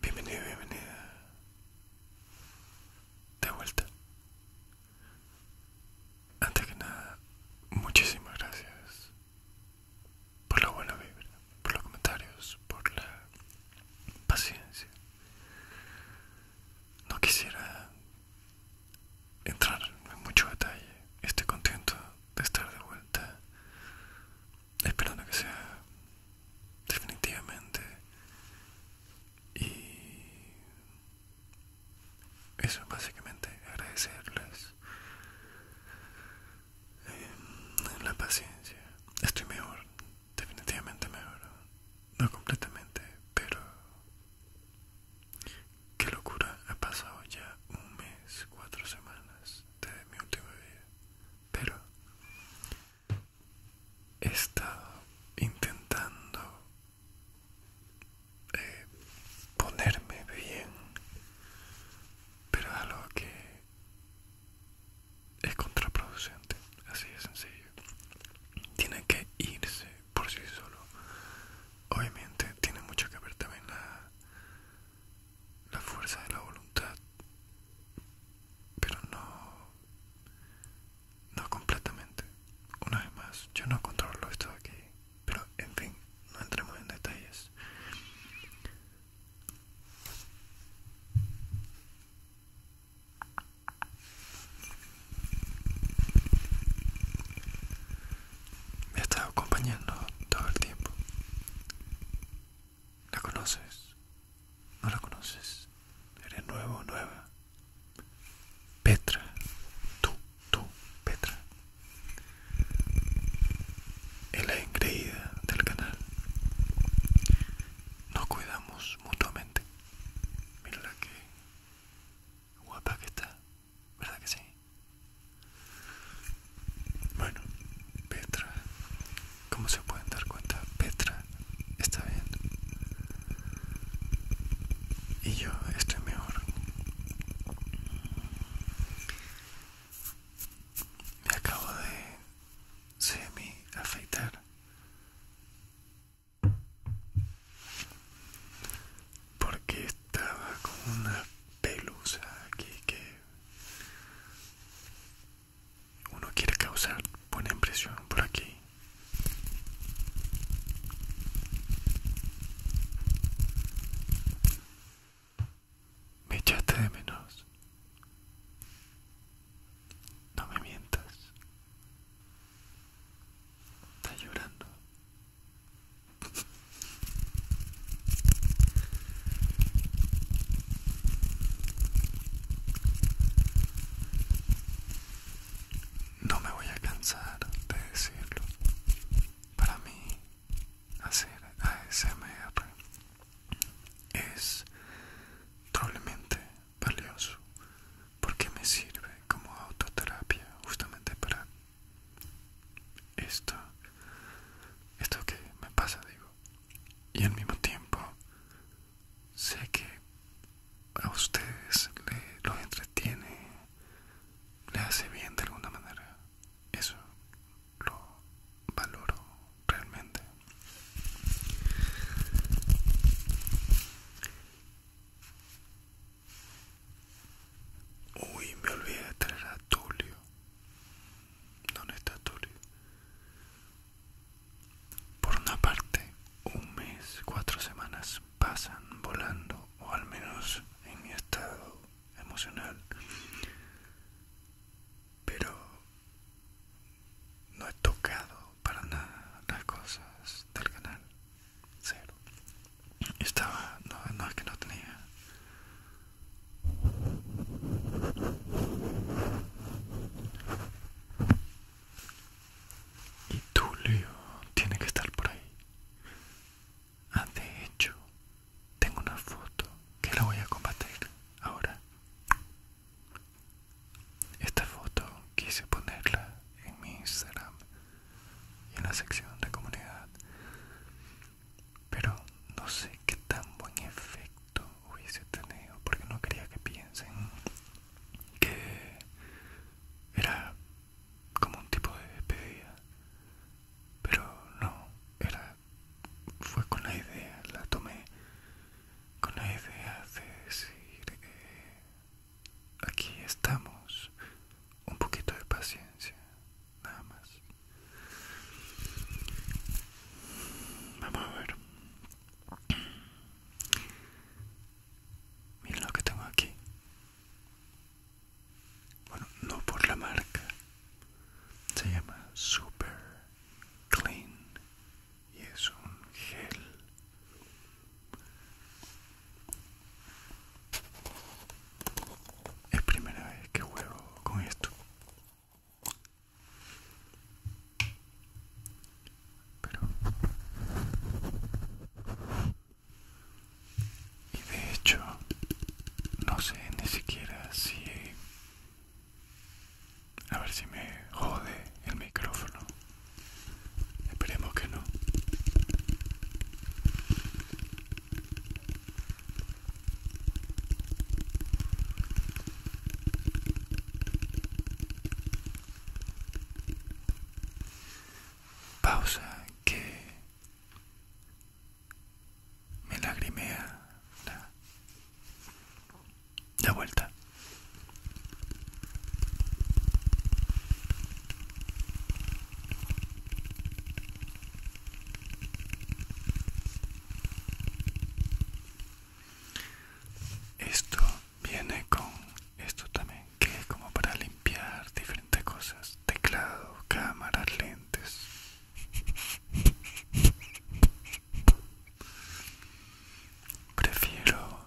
Bienvenido, bienvenida. De vuelta. Antes que nada, muchísimas gracias por la buena vibra, por los comentarios, por la paciencia. No quisiera entrar en mucho detalle. Estoy contento de estar de vuelta esperando que sea definitivamente y eso básicamente agradecerles eh, la paciencia estoy mejor definitivamente mejor no completamente pero qué locura ha pasado ya un mes cuatro semanas de mi última vida, pero he estado intentando eh, ponerme bien, pero es algo que es contraproducente, así de sencillo. Tiene que irse por sí solo. Obviamente tiene mucho que ver también la la fuerza de la voluntad, pero no, no completamente. Una vez más, yo no controlo esto aquí, pero en fin, no entremos en detalles. Me ha estado acompañando todo el tiempo ¿La conoces? ¿No la conoces? Eres nuevo nueva. Petra. Tú, tú, Petra. Es la engreída del canal. Nos cuidamos mutuamente. Mira que guapa que está. ¿Verdad que sí? Bueno, Petra, como se pueden dar cuenta, Petra está bien. Y yo estoy mejor. Me acabo de semi afeitar. Porque estaba con una pelusa aquí que uno quiere causar buena impresión por aquí me echaste de menos no me mientas Está llorando no me voy a cansar de decirlo. Para mí, hacer ASMR es probablemente valioso porque me sirve como autoterapia justamente para esto, esto que me pasa, digo. Y al mismo tiempo, sé que a ustedes les los entretiene, le hace bien de alguna manera. Eso lo valoro realmente. Uy, me olvidé de traer a Tulio. ¿Dónde está Por una parte, un mes, cuatro semanas pasan volando, o al menos en mi estado emocional. Pero no he tocado para nada las cosas del canal. Cero. Estaba, no es que no tenía y Tulio tiene que estar por ahí. Ah, de hecho, tengo una foto que la voy a compartir ahora. Esta foto quise ponerla en mi Instagram y en la sección de comunidad pero no sé qué tan buen efecto hubiese tenido porque no quería que piensen que era como un tipo de despedida pero no era fue con la idea la tomé con la idea de decir eh, aquí estamos un poquito de paciencia nada más vamos a ver Mira lo que tengo aquí bueno no por la marca se llama super clean y es un gel es primera vez que juego con esto. Y de hecho, no sé ni siquiera si... A ver si me jode el micrófono. Esperemos que no. Pausa que me lagrimea la, vuelta. Esto viene con esto también, que es como para limpiar diferentes cosas, teclado, cámaras, lentes. Prefiero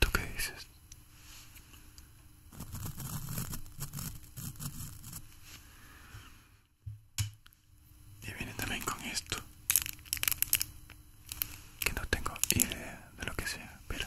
¿Tú qué dices? Y viene también con esto. Que no tengo idea de lo que sea. Pero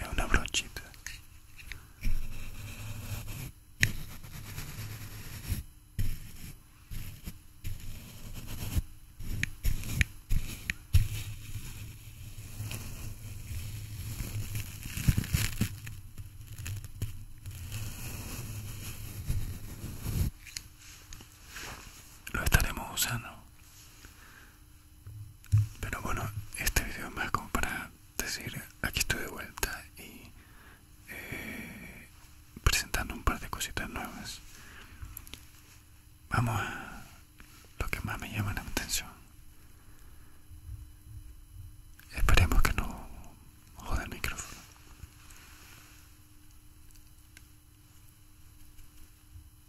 es una brochita lo estaremos usando pero bueno, este video es más como para decir, aquí estoy de vuelta y eh, presentando un par de cositas nuevas. Vamos a lo que más me llama la atención. Esperemos que no jode el micrófono.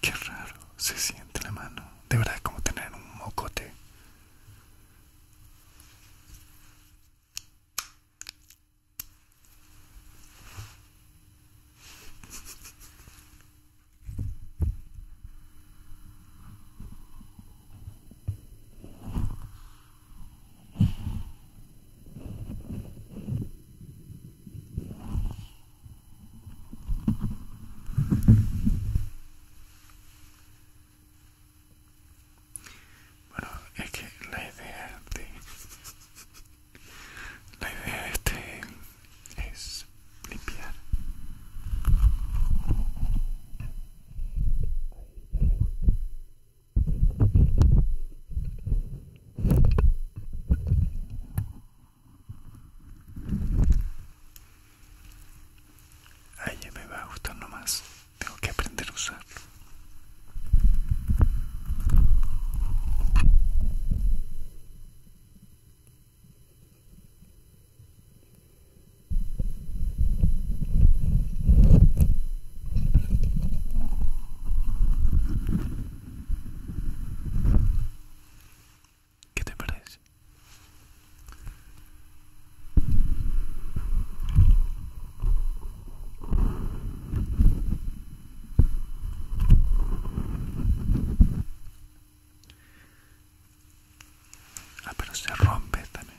Qué raro se siente la mano. De verdad, como tener un mocote. Bueno, es que la idea de la idea de este es limpiar. A ya me va a gustar nomás. Tengo que aprender a usar ¿Qué te parece? Ah, pero se rompe también.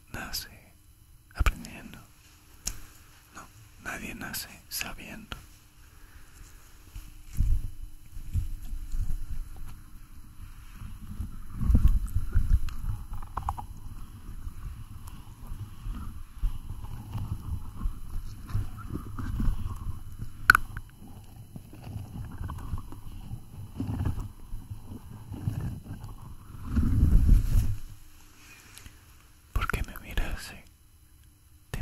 nace aprendiendo. No, nadie nace sabiendo. ¿Por qué me miras así?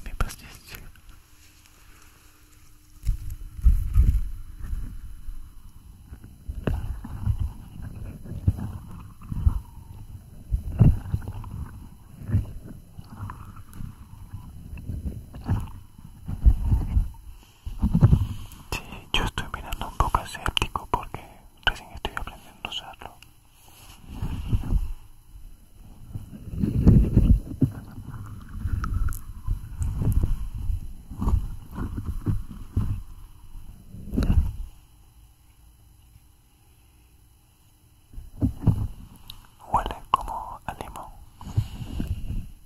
mi paciencia. Sí, yo estoy mirando un poco escéptico porque recién estoy aprendiendo a usarlo. Huele como a limón.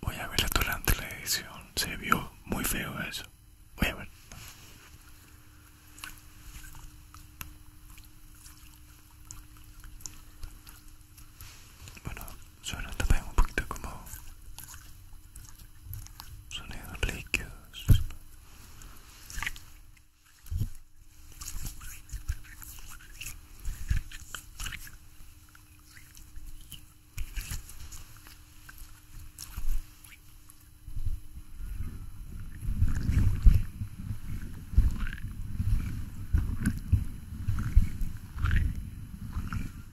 Voy a verla durante la edición. Se vio muy feo eso. Voy a ver. Bueno, suena también un poquito como sonidos líquidos.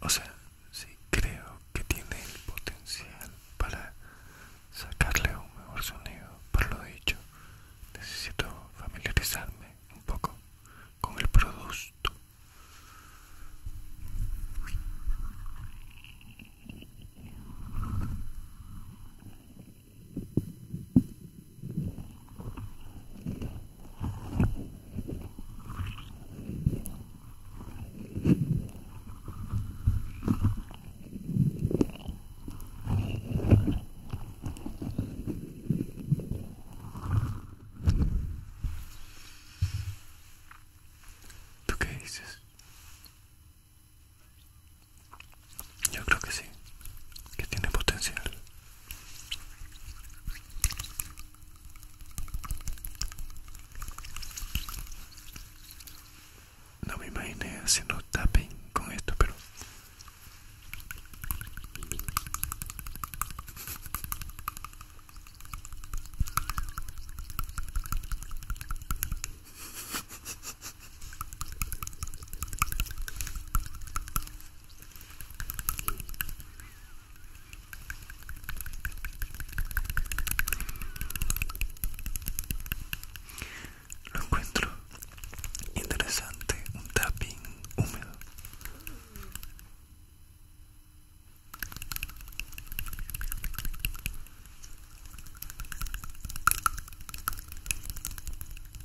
O sea, sí creo que tiene el potencial para sacarle un mejor sonido. Por lo dicho, necesito familiarizarme un poco con el producto. ¿Tú qué dices? Yo creo que sí, que tiene potencial. No me imaginé haciendo tapping con esto, pero lo encuentro interesante, un tapping húmedo.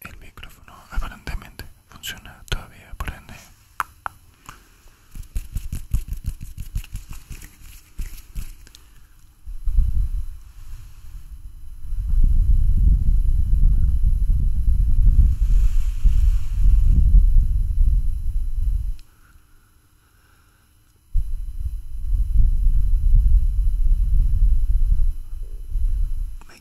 el micrófono aparentemente funciona todavía, por ende. Me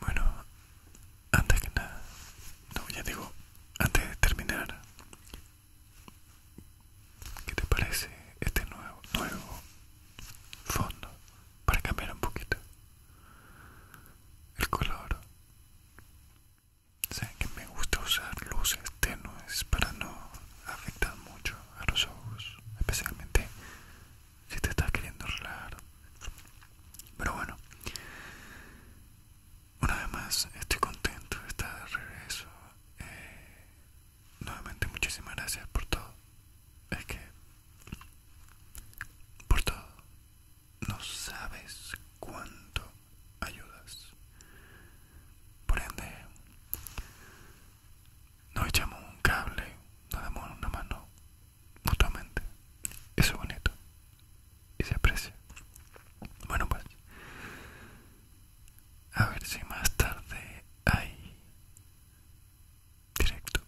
bueno, antes que nada, no, ya digo, antes de terminar, ¿qué te parece este nuevo fondo para cambiar un poquito? el color sé que me gusta usar luces tenues para no afectar mucho a los ojos especialmente si te estás queriendo relajar pero bueno una vez más estoy contento de estar de regreso eh, nuevamente muchísimas gracias por todo es que por todo no sabes cuánto ayudas. Por ende, nos echamos un cable, nos damos una mano mutuamente. Eso es bonito y se aprecia. Bueno, pues, a ver si más tarde hay directo.